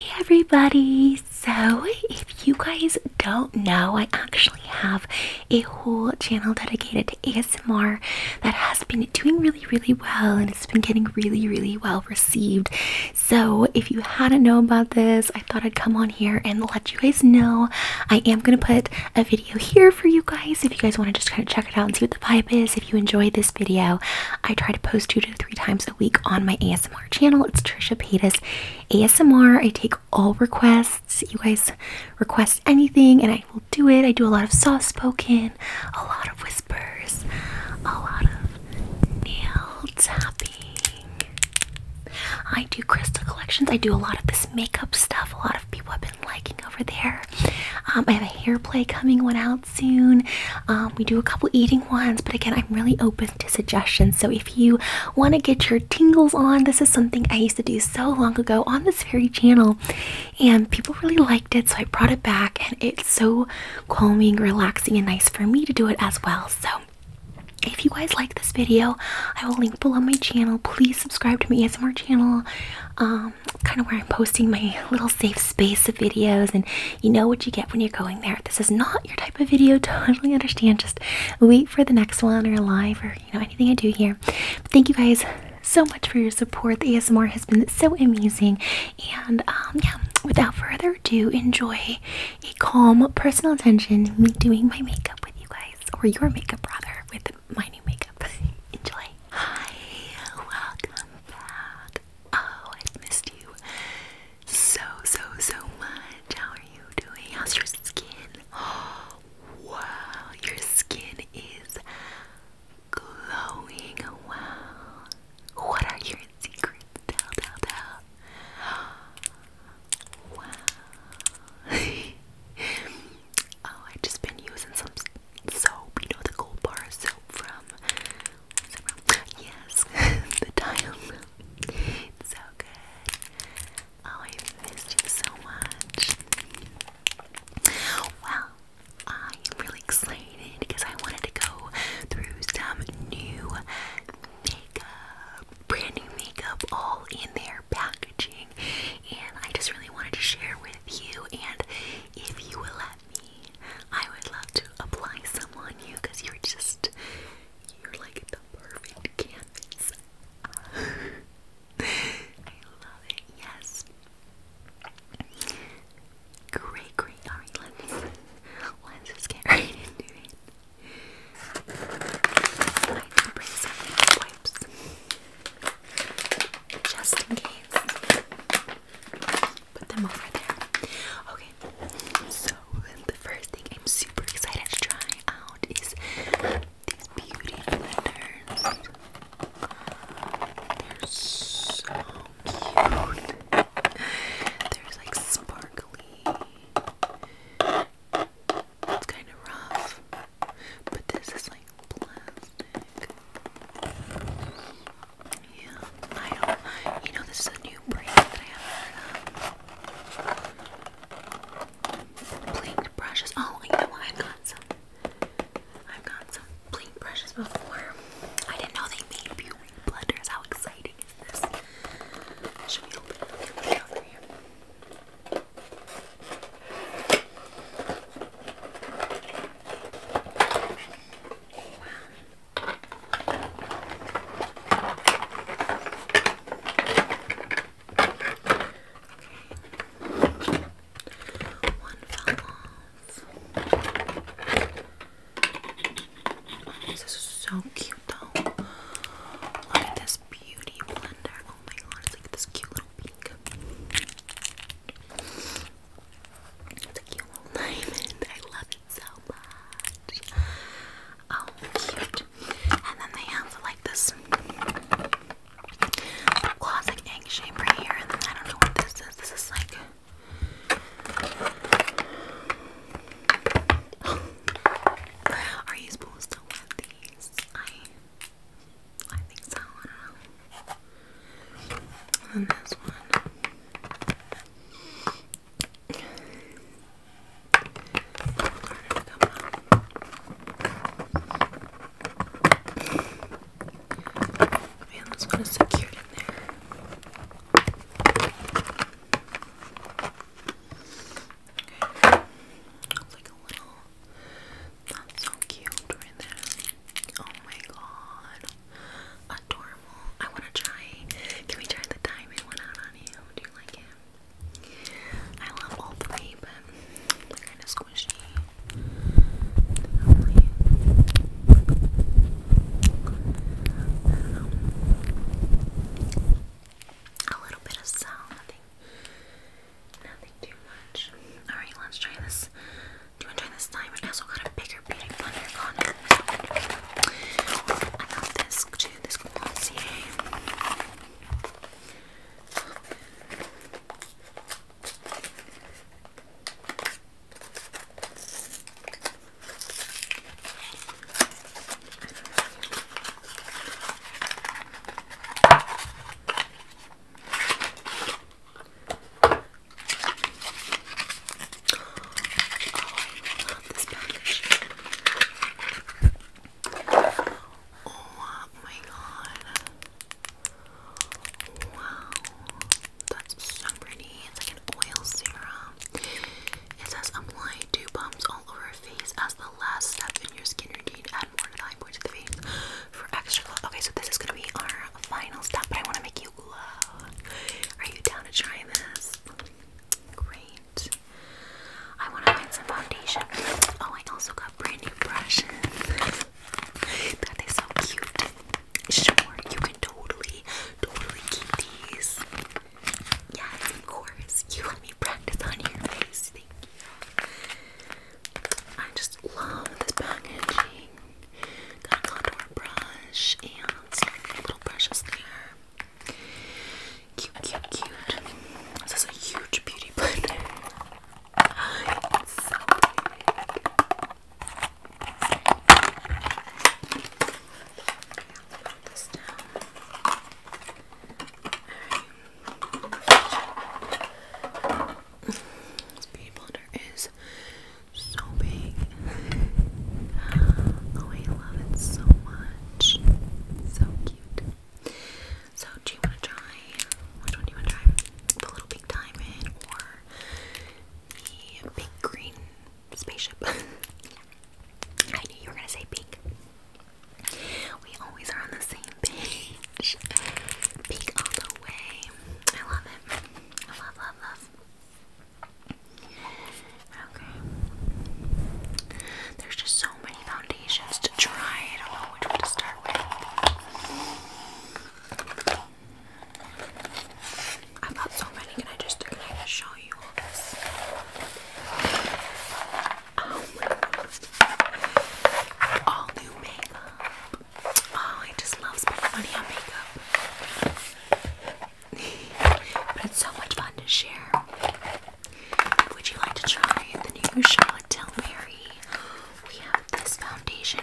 Hey everybody! So, if you guys don't know, I actually have a whole channel dedicated to ASMR that has been doing really, really well and it's been getting really, really well received. So, if you hadn't known about this, I thought I'd come on here and let you guys know. I am going to put a video here for you guys if you guys want to just kind of check it out and see what the vibe is. If you enjoyed this video, I try to post two to three times a week on my ASMR ASMR channel. It's Trisha Paytas ASMR. I take all requests. You guys request anything and I will do it. I do a lot of soft spoken, a lot of whispers, a lot of nail tapping. I do crystal collections. I do a lot of this makeup stuff. A lot of people have been liking over there. Um, I have a hair play coming one out soon. Um, we do a couple eating ones, but again, I'm really open suggestions. So if you want to get your tingles on, this is something I used to do so long ago on this very channel, and people really liked it. So I brought it back, and it's so calming, relaxing, and nice for me to do it as well. So if you guys like this video, I will link below my channel. Please subscribe to my ASMR channel. Um, kind of where I'm posting my little safe space of videos and you know what you get when you're going there. This is not your type of video. Totally understand. Just wait for the next one or live or you know anything I do here. thank you guys so much for your support. The ASMR has been so amazing. And um, yeah, without further ado, enjoy a calm personal attention. Me doing my makeup with you guys, or your makeup rather, with my new makeup. enjoy. Hi, welcome back. Oh, i missed you so, so, so much. How are you doing? How's your skin? wow, your skin is glowing. Wow. What are your secrets? Tell, tell, tell. Wow. oh, i just been using some soap. You know, the gold bar soap from Yes, the time. It's so good. Oh, I missed you so much. Well, I am really excited because I wanted to go through some new makeup, brand new makeup, all in their packaging, and I just really wanted to share with you. And if you will let me, I would love to apply some on you because you're just you're like the perfect canvas. I love it. Yes. Great, great. Alright, let's get right into it. I did some wipes. Just in case. Put them over there so the first thing I'm super excited to try out is these beauty blenders. They're so cute. They're like sparkly. It's kind of rough, but this is like plastic. Yeah, I don't. You know, this is a new brand that I have heard of. Blink brushes. Oh, you know I've got some. I've got some blink brushes before. I didn't know they made viewing blenders. How exciting is this? Should we open it over here? One fell off. This is so cute though. Look at this beauty blender. Oh my god, it's like this cute little pink. It's a cute little diamond. I love it so much. Oh, cute. And then they have like this classic egg shape right here. And then I don't know what this is. This is like. Are you supposed to want these? I I think so, I don't know. And this one. Man, this one is so cute in there. Okay. That's so cute right there. Oh my god. Adorable. I want to try. Can we try the diamond one out on you? Do you like it? I love all three, but kind of squishy. A little bit of salt, nothing, nothing too much. Alright, let's try this. Do you want to try this diamond? I also got a bigger beauty blender I got this to this glossier. Oh, I Oh my god. Wow. That's so pretty. It's like an oil serum. It says apply two pumps all over face as the last step in your skincare routine. Add more to the high point of the face for extra glow. Okay, so this is gonna be our final step, but I wanna make you glow. Are you down to try this? Great. I want to find some foundation. Oh, I also got brand new brushes. that is so cute. Sure, you can totally, totally keep these. Yes, of course. You let me practice on your face. Thank you. I just love this packaging. Got a contour brush and some little brushes there. Cute, cute, cute. This is a huge beauty blender. This beauty blender is so big. oh, I love it so much. So cute. So do you want to try? Which one you want to try? The little pink diamond or the big green spaceship? I knew you were gonna say pink. We always are on the same page. Pink all the way. I love it. love, love, love. Okay. There's just so many foundations to try. I don't know which one to start with. I've so many. Can I just can I just show you all this? Oh all new makeup. Oh, I just love spending money on makeup but it's so much fun to share. Would you like to try the new Charlotte Tilbury? We have this foundation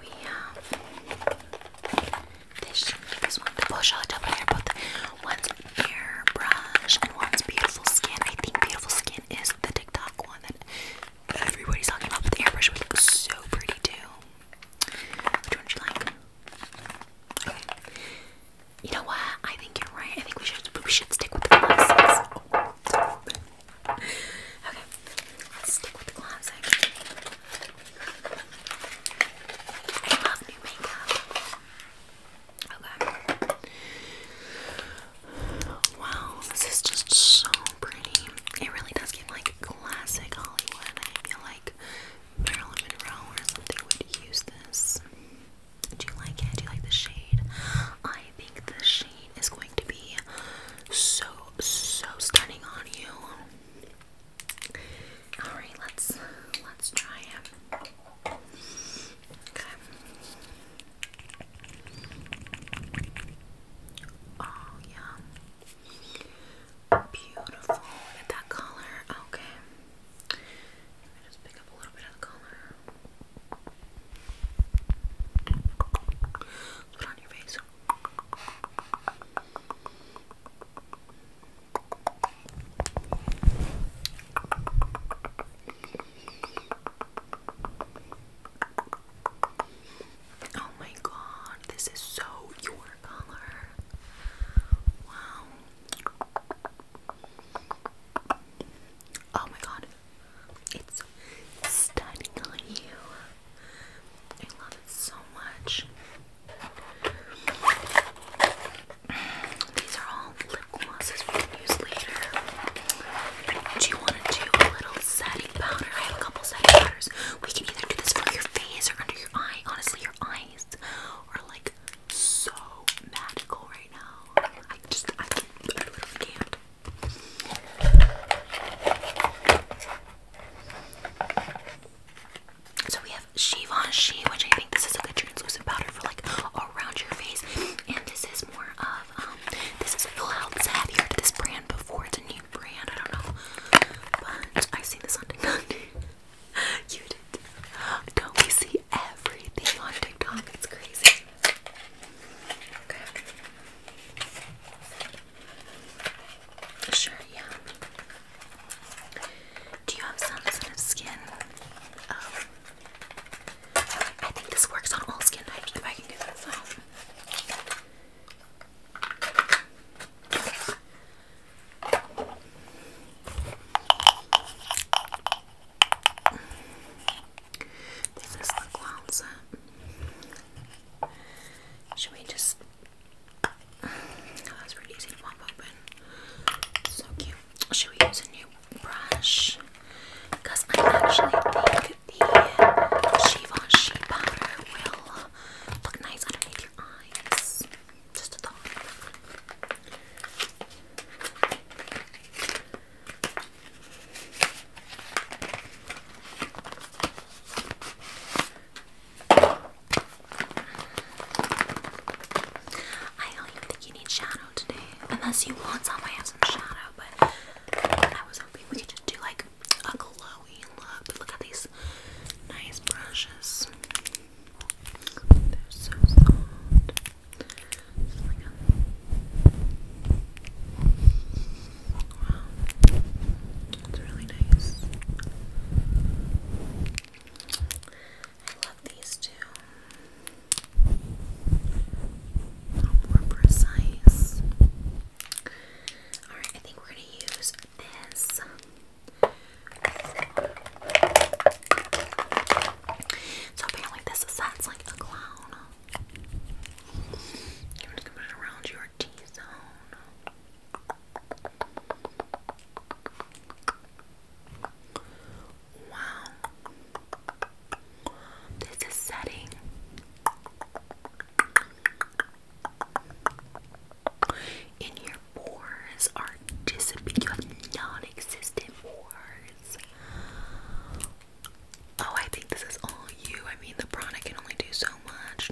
We have this, one, the Beau Charlotte airbrush and one's beautiful skin. I think beautiful skin is the TikTok one that everybody's talking about. But the airbrush was so pretty too. Which one do you like? You know what? I think you're right. I think we should we should stick with the classics. okay, stick with the classics. I love new makeup. Okay. Wow, this is just so pretty. It really does get like classic Hollywood. I feel like Marilyn Monroe or something would use this. Do you like it? Do you like the shade? I think the shade is going to be so, so stunning on you. Alright, let's let's try it. Okay. Oh yeah. Beautiful. Look at that color. Okay. Let just pick up a little bit of the color. Put on your face. Oh my god, this is so your color. Wow. Oh my god, it's stunning on you. I love it so much. These are all lip glosses we can use later. Do you want to do a little setting powder? I have a couple setting powders. We can either do this for your face or under your eye. Honestly, your eye nice like so magical right now. I just I, can, not So we have Shivon She, which I think this is a good translucent powder for like around your face, and this is more of um this is a House. heavier. you this brand before? It's a new brand. I don't know, but I've seen this on you did. Don't we see everything on TikTok? It's crazy. Sure, yeah. Do you have sensitive skin? Um, I think this works on all skin types if I can get this this is the clown set. Should we just. Oh, that's really easy to pop open. So cute. Should we use a new brush? Because I actually think the Givenchy powder will look nice underneath your eyes. Just a thought. I do think you need shadow today. Unless you want some, I have some shadow, but I was hoping we could just do like a glowy look. But look at these nice brushes. They're so soft. Wow. It's really nice. I love these two. more precise. Alright, I think we're gonna use so apparently this sets like a clown. You want to put it around your T zone. Wow. This is setting and your pores are disappearing. You have non-existent pores. Oh, I think this is all you. I mean, the product can only do so much.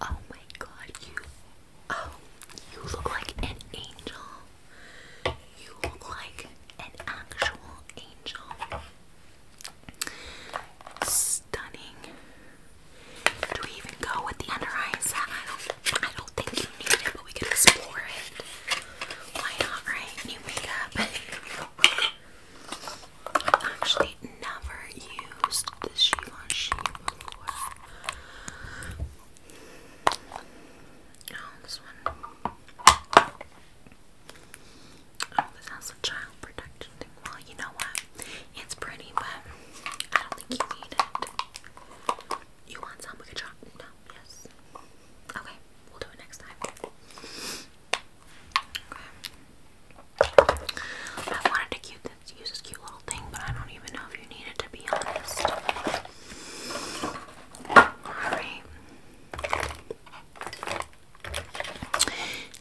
Oh my god, you. Oh, you look like an angel. You look like an actual angel. Stunning. Do we even go with the under eye I don't, I don't think you need it, but we can explore it. Why not, right? New makeup. i actually never used the Givenchy before. Oh, this one. Oh, this has a child protection thing. Well, you know what? It's pretty, but I don't think you need it. You want some? We could try. No. Yes. Okay. We'll do it next time. Okay. I wanted to cute this, use cute little thing, but I don't even know if you need it to be honest. Alright.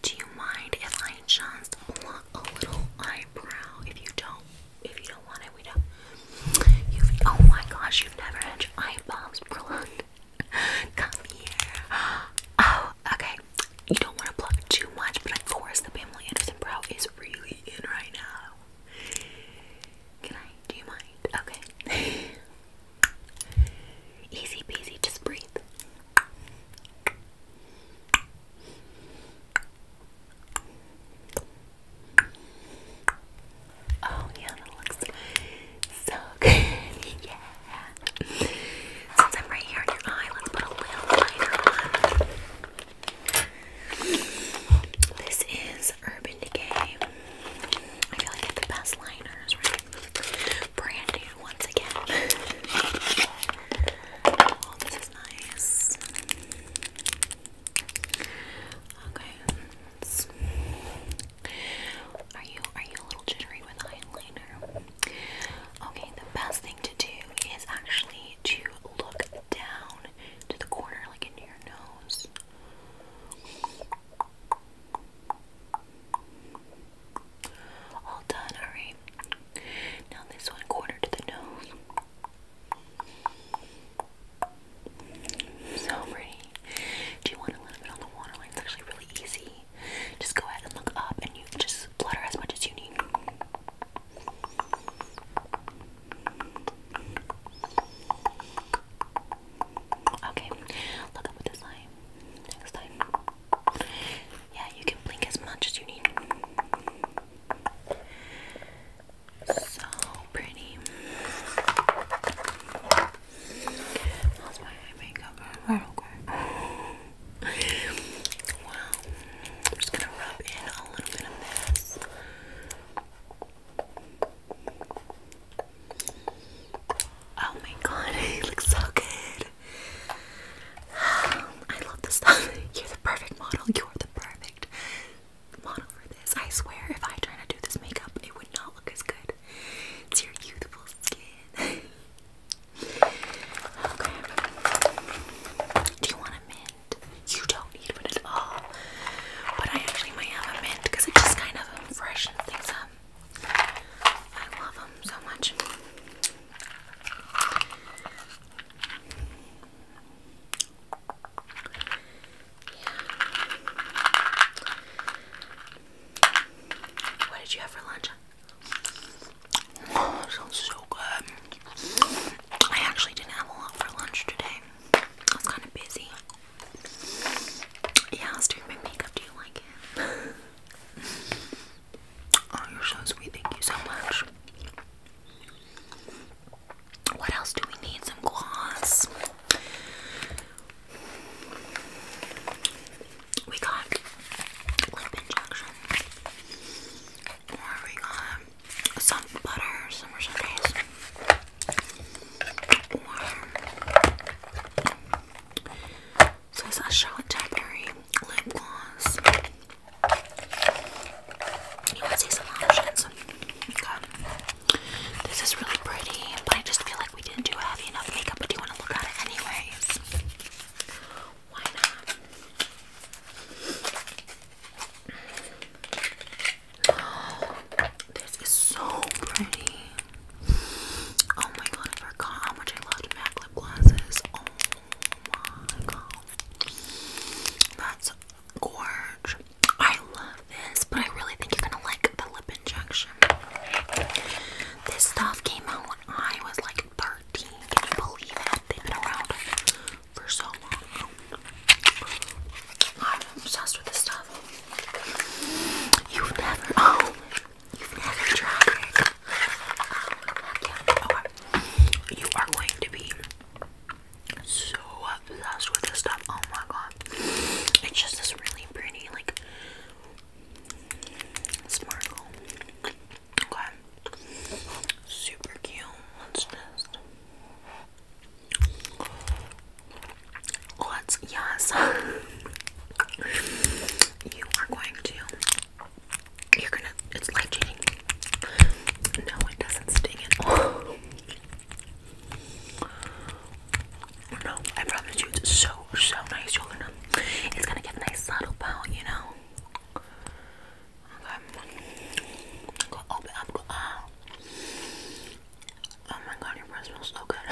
Do you mind if I just pluck a little eyebrow? If you don't if you don't want it, we don't. You've, oh my gosh, you've never had your eye bombs Come here. Oh, okay. You don't want to plug too much, but of course the Pamela Anderson brow is really in right now. Can I? Do you mind? Okay. Easy peasy, just breathe. Oh yeah, that looks so good. yeah. Since I'm right here in your eye, let's put a little lighter on. This is Urban Decay. I feel like I get the best liners, Brand new once again. Oh, this is nice. Okay. are you are you a little jittery with eyeliner? Okay, the best thing to do is actually to look down to the corner, like into your nose. All done, alright. Now this one, quarter to the nose. So pretty. Do you want a little bit on the waterline? It's actually really easy. Just go ahead and look up and you just flutter as much as you need. Okay, look up with this line next time. Yeah, you can blink as much as you need. So pretty. How's my eye makeup? Wow. I'm just gonna rub in a little bit of this. Oh my god, it looks so good. I love this stuff. You're the perfect model. You're the perfect model for this. I swear, if I try to do this makeup, it would not look as good. It's your beautiful skin. okay. Do you want a mint? You don't need one at all. But I actually might have a mint because it just kind of um, freshens things up. I love them so much. What did you have for lunch? Oh, sounds so good. I actually didn't have a lot for lunch today. I was kind of busy. Yeah, I was doing my makeup. Do you like it? oh, you're so sweet. Thank you so much. What else do we need? Some gloss. We got lip injection. Or we got some butter, summer sundays. Or so it's a Charlotte Tilbury lip gloss. You would see some options. This is really pretty, but I just feel like we didn't do heavy enough makeup, but do you want to look at it anyways? Why not? this is so pretty. Oh my god, I forgot how much I loved MAC lip glosses. Oh my god. That's Gorge. I love this, but I really think you're gonna like the lip injection. This stuff came out when I was like 13. Can you believe it? They've been around for so long. I'm obsessed with this stuff. You've never, oh, you've never tried it. You are going to be so obsessed with this stuff. Oh my god. It's just this really pretty, like, sparkle. Okay. Super cute. Let's just. Let's, yes. you are going to. You're gonna, it's life changing. No, it doesn't sting no, I promise you, it's so, so nice. You're gonna, it's gonna get nice subtle pout, you know? Okay. Go open up, Oh my god, your breath smells so good.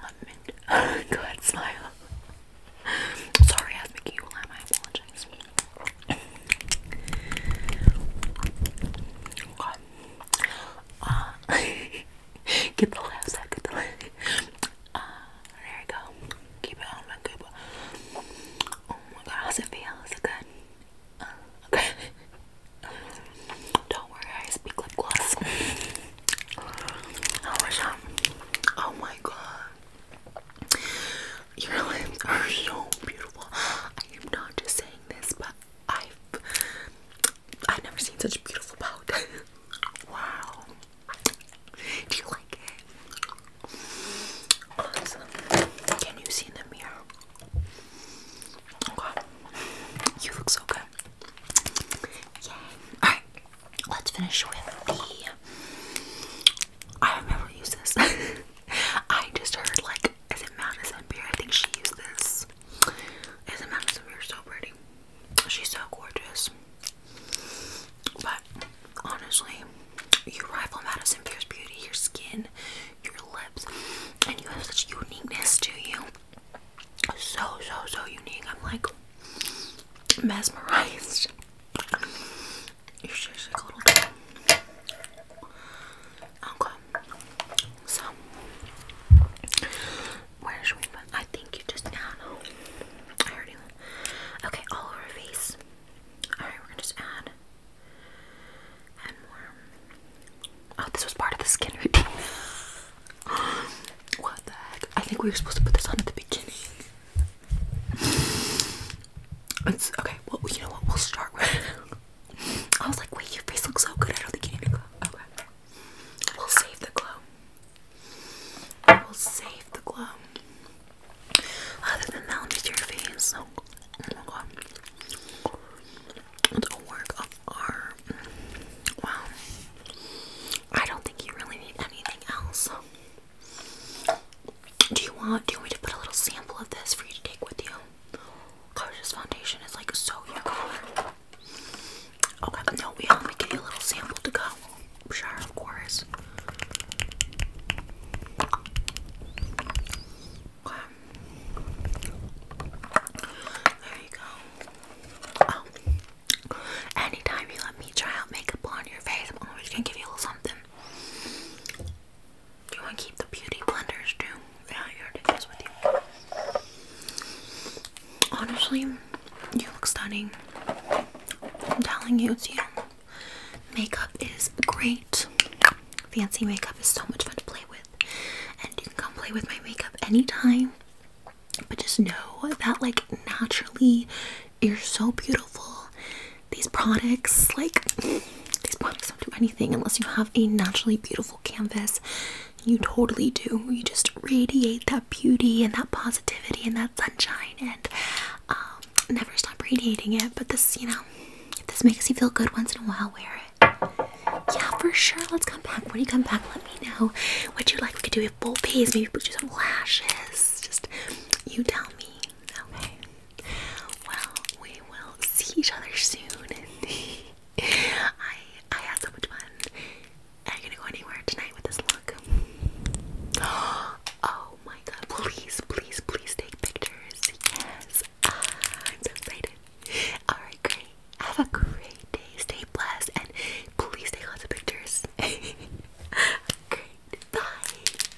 Let me, smile. Sorry, I am making you laugh. I apologize. Uh, god. get the laughs out, get the laughs. Uh, there you go. Keep it on my Cuba. Oh my god, how's it feel? Is it good? Uh, okay. Don't worry, I speak lip gloss. Oh my god. Your lips are so beautiful. I am not just saying this, but I've I've never seen such a beautiful pout. wow. Do you like it? Awesome. Can you see in the mirror? Okay. You look so good. Yay. Alright, let's finish with the I have never used this. I just heard like, as it Madison Beer? I think she used this. As it Madison Beer so pretty? She's so gorgeous. But honestly, you rival Madison Beer's beauty, your skin, your lips, and you have such uniqueness to you. So, so, so unique. I'm like mesmerized you should just cuddle where should we put? I think you just I ah, I already Okay, all over face. Alright, we're gonna just add add more. Oh, this was part of the skin routine. what the heck? I think we were supposed to put this on at the beginning. It's okay. Well, you know what? We'll start with. I was like, wait, your face looks so good. I don't think you need a glow. Okay. We'll save the glow. We'll save the glow. Other than that, I'll your face. So, oh my oh, god. The work of art. Wow. I don't think you really need anything else. Do you want do you want me to put a little sample of this for you to take with you? Gosh, foundation is like so unicorn. Okay, no, we only give you a little sample to go. Sure, of course. There you go. Oh. Anytime you let me try out makeup on your face, I'm always gonna give you a little something. Do you want to keep the beauty blenders too? Yeah, you already goes with you. Honestly, you look stunning. I'm telling you, it's you. Makeup is great. Fancy makeup is so much fun to play with. And you can come play with my makeup anytime. But just know that, like, naturally, you're so beautiful. These products, like, these products don't do anything unless you have a naturally beautiful canvas. You totally do. You just radiate that beauty and that positivity and that sunshine and um, never stop radiating it. But this, you know, this makes you feel good once in a while, wear it. Yeah, for sure. Let's come back. When you come back, let me know what you like. We could do a full face. Maybe put could some lashes. Just you tell me. Okay. Well, we will see each other soon. I I had so much fun. Are you gonna go anywhere tonight with this look? Oh my god, please, please, please take pictures. Yes. I'm so excited. Alright, great. Have a great day. Stay blessed and please take lots of pictures. great. Bye.